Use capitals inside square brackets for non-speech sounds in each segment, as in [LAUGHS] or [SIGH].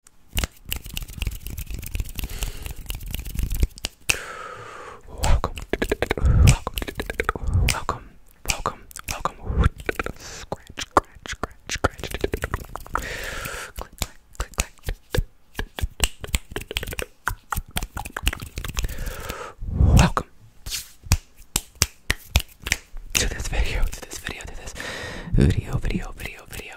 Welcome, welcome, welcome, welcome, welcome. Scratch, scratch, scratch, scratch. Click, click, click, click. Welcome to this video, to this video, to this video. video, video, video, video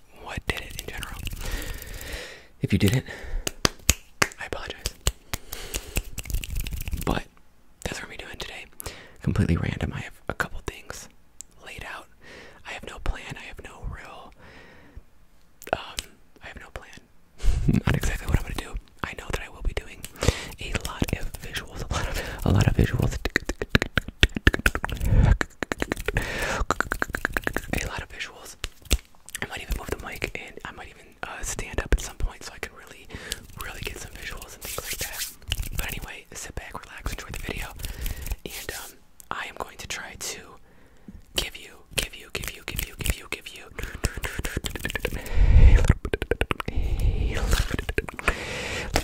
what did it in general. If you didn't, I apologize. But that's what we doing today. Completely random. I have a couple things laid out. I have no plan. I have no real. Um, I have no plan. [LAUGHS] Not exactly what I'm gonna do. I know that I will be doing a lot of visuals. a lot of visuals a lot of visuals. I might even move the mic and I might even uh, stand up at some point so I can really, really get some visuals and things like that. But anyway, sit back, relax, enjoy the video, and um, I am going to try to give you, give you, give you, give you, give you, give you a little bit, a little bit, a little bit,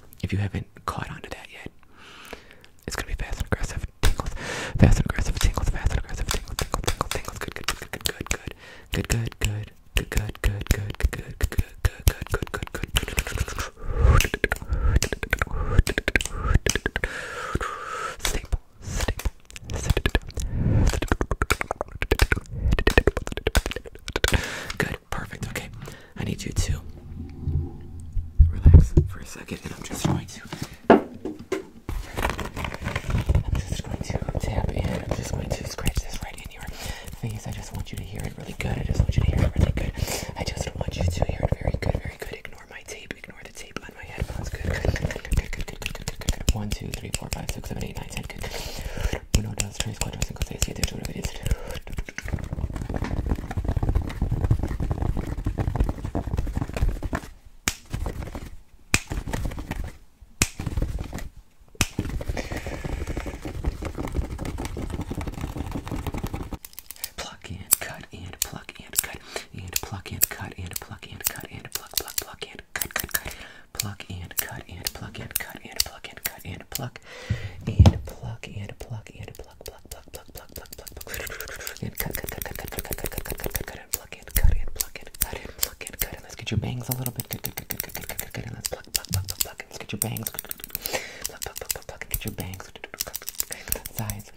if you haven't caught on to that yet, it's gonna be fast and aggressive tingles, fast and aggressive tingles, fast and aggressive tingles, tingles, tingles, tingles. Good, good, good, good, good, good, good, good, good, good, good, good, good, good, good, good, good, good, good, good. Staple, staple, good, perfect. Okay, I need you to relax for a second, I'm just going to tap in. I'm just going to scratch this right in your face. I just want you to hear it really good. I just want you to hear it really good. I just want you to hear it very good, very good. Ignore my tape. Ignore the tape on my headphones. Good, good, good, good, good, good, good, good, good, good. One, two, three, four, five, six, seven, eight, nine, ten. Good. Uno, dos, tres, cuatro, cinco, seis, siete, ocho, nueve, diez. Pluck and cut and pluck and cut and pluck and cut and pluck and cut and pluck pluck pluck and cut cut cut pluck and cut and pluck and cut and pluck and cut and pluck pluck and pluck and pluck and pluck pluck pluck pluck pluck pluck pluck and cut cut cut cut cut cut cut cut cut cut cut and pluck and cut and pluck and cut and pluck and cut and let's get your bangs a little bit good good good good good good good and let's pluck pluck pluck pluck pluck and let's get your bangs pluck pluck pluck pluck and get your bangs sides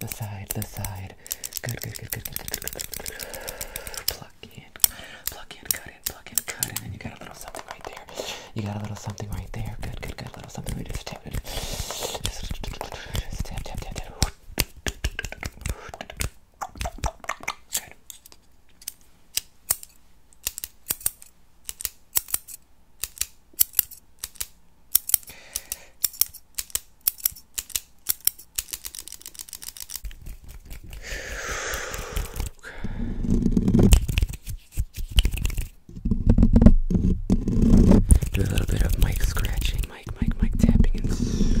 the side the side good good good good good good good pluck in pluck in cut cut it, plug it, cut it, and you got a little something right there. You got a little something right there. Good, good, good. A little something. We just tap it. Just tap, tap, tap, tap. Good. Do [SIGHS] a little bit of mic scratching, mic, mic, mic tapping, and scratching.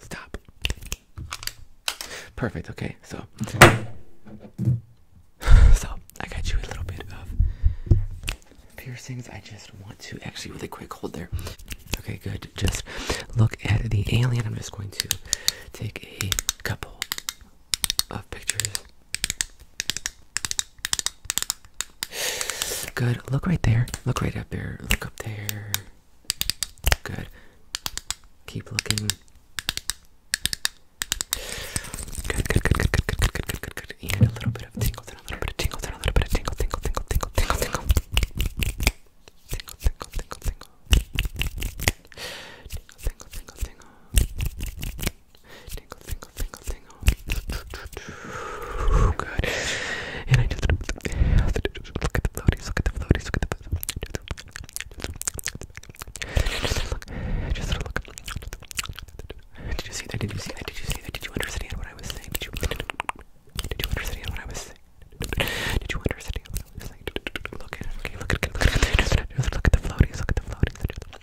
Stop. Perfect. Okay, so so I got you a little bit of piercings. I just want to actually really quick hold there. Okay, good. Just look at the alien. I'm just going to take a couple of pictures Good. Look right there. Look right up there. Look up there. Good. Keep looking. Good, good, good, good, good, good, good, good, And a little bit of tingle, then a little bit of tingle, then a little bit of tingle, tingle, tingle, tingle, tingle, tingle. Tingle, tingle, tingle, tingle. Tingle, tingle, tingle, tingle. Tingle, tingle, tingle, tingle. Good. And I just look at the floaties, look at the floaties, look at the floaties. Did you see that? Did you see that? Did you see that? Did you understand what I was saying? Did you? understand what I was saying? Did you understand what I was saying? Look at it. Okay, look at it. Look Look at the floaties. Look at the floaties.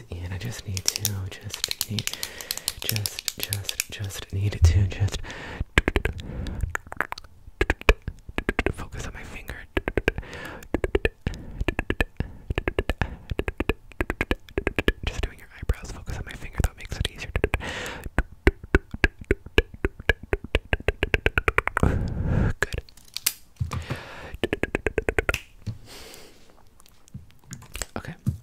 And I just need to, just need, just, just, just need to, just focus on my finger. Just doing your eyebrows, focus on my finger, that makes it easier. Good. Okay. Let's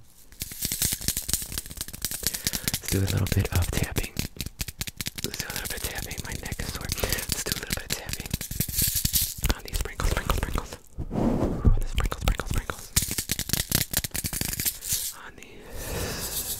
do a little bit of tapping. Let's do a little bit of tapping. My neck is sore. Let's do a little bit of tapping on ah, these sprinkles, sprinkles, sprinkles. On the sprinkles, sprinkles, sprinkles. On ah, these sprinkles.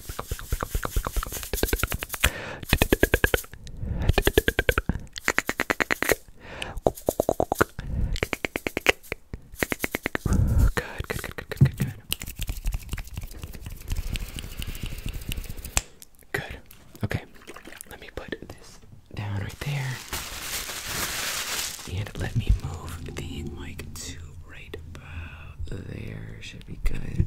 Good, good, good, good, good, good, good. Okay. Let me put this down right there. And let me move the mic to right about there. Should be good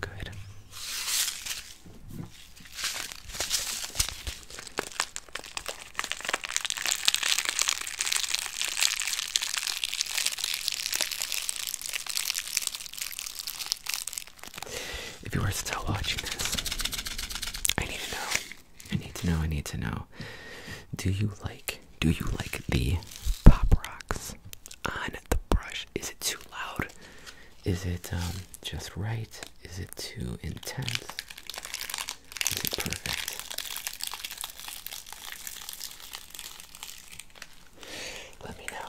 Good. If you are still watching this, I need to know. I need to know. I need to know. Do you like? Do you like the pop rocks on the brush. Is it too loud? Is it um, just right? Is it too intense? Is it perfect? Let me know.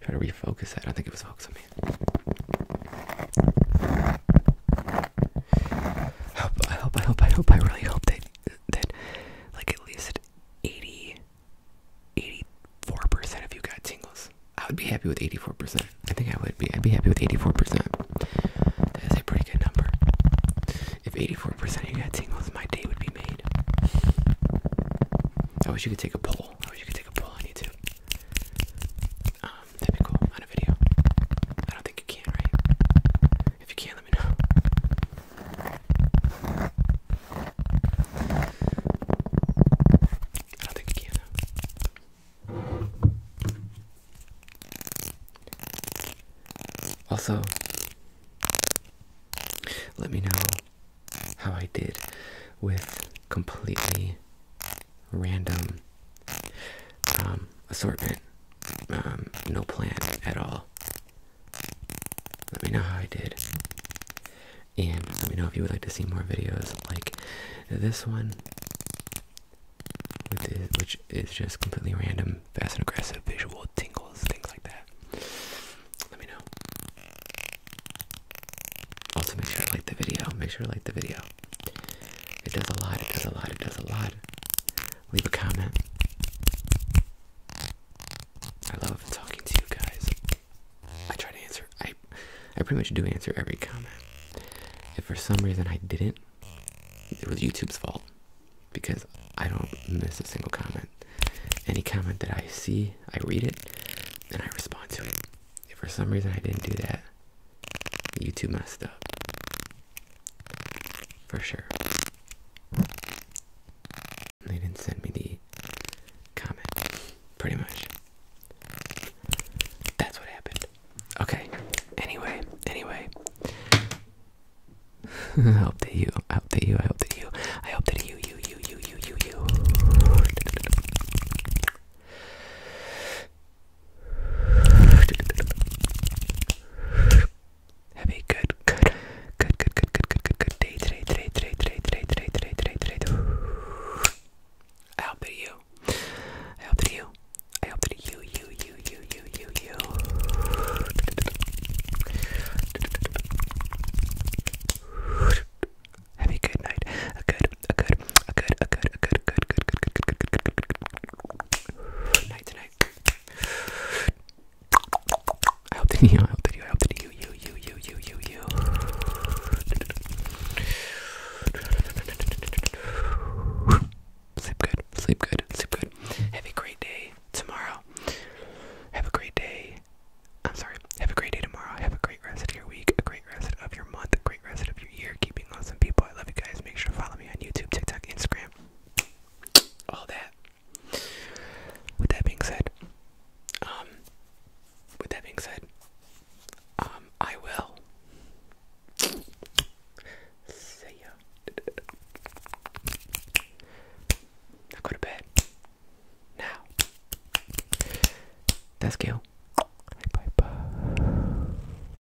Try to refocus that. I think it was focused on me. I hope, I hope, I hope, I hope, I really hope that, that like at least 80, percent of you got tingles. I would be happy with 84%. I think I would be. I'd be happy with 84%. That is a pretty good number. If 84% of you got tingles, my day would be made. I wish you could take a poll. I wish you could take a poll on YouTube. Um, that'd be cool on a video. I don't think you can, right? If you can, let me know. I don't think you can, also, let me know how I did with completely random um, assortment, um, no plan at all. Let me know how I did. And let me know if you would like to see more videos like this one which is just completely random, fast and aggressive, visual tingles, things like that. Let me know. Also, make sure to like the video. Make sure to like the video. It does a lot. It does a lot. It does a lot. Leave a comment. I love talking to you guys. I try to answer. I, I pretty much do answer every comment. If for some reason I didn't, it was YouTube's fault because I don't miss a single comment. Any comment that I see, I read it and I respond to it. If for some reason I didn't do that, YouTube messed up. For sure. They didn't send me the comment. Pretty much. That's what happened. Okay. Anyway, anyway. [LAUGHS] I hope that you, I hope that you, I hope that you, I hope that you, you, you, you, you, you, you. Have a good, good, good, good, good, good, good, good, good day today, today, today, today, today, today, today, today, today. I hope that you, I hope that you, I hope that you, you, you, you, you, you, you. Have a good night. A good, a good, a good, a good, a good, good, good, good, good, good, good, good, good night tonight. I hope that you, I hope that you, I hope that you, you, you, you, you, you, you. Sleep good, sleep good, sleep good. Have a great day tomorrow. Have a great day. I'm sorry. Have a great day tomorrow. Have a great rest of your week, a great rest of your month, a great rest of your year. Keeping awesome people. I love you guys. Make sure to follow me on YouTube, TikTok, Instagram. All that. With that being said, um, with that being said, um, I will See ya. go to bed. Now. That's Gil. Bye bye.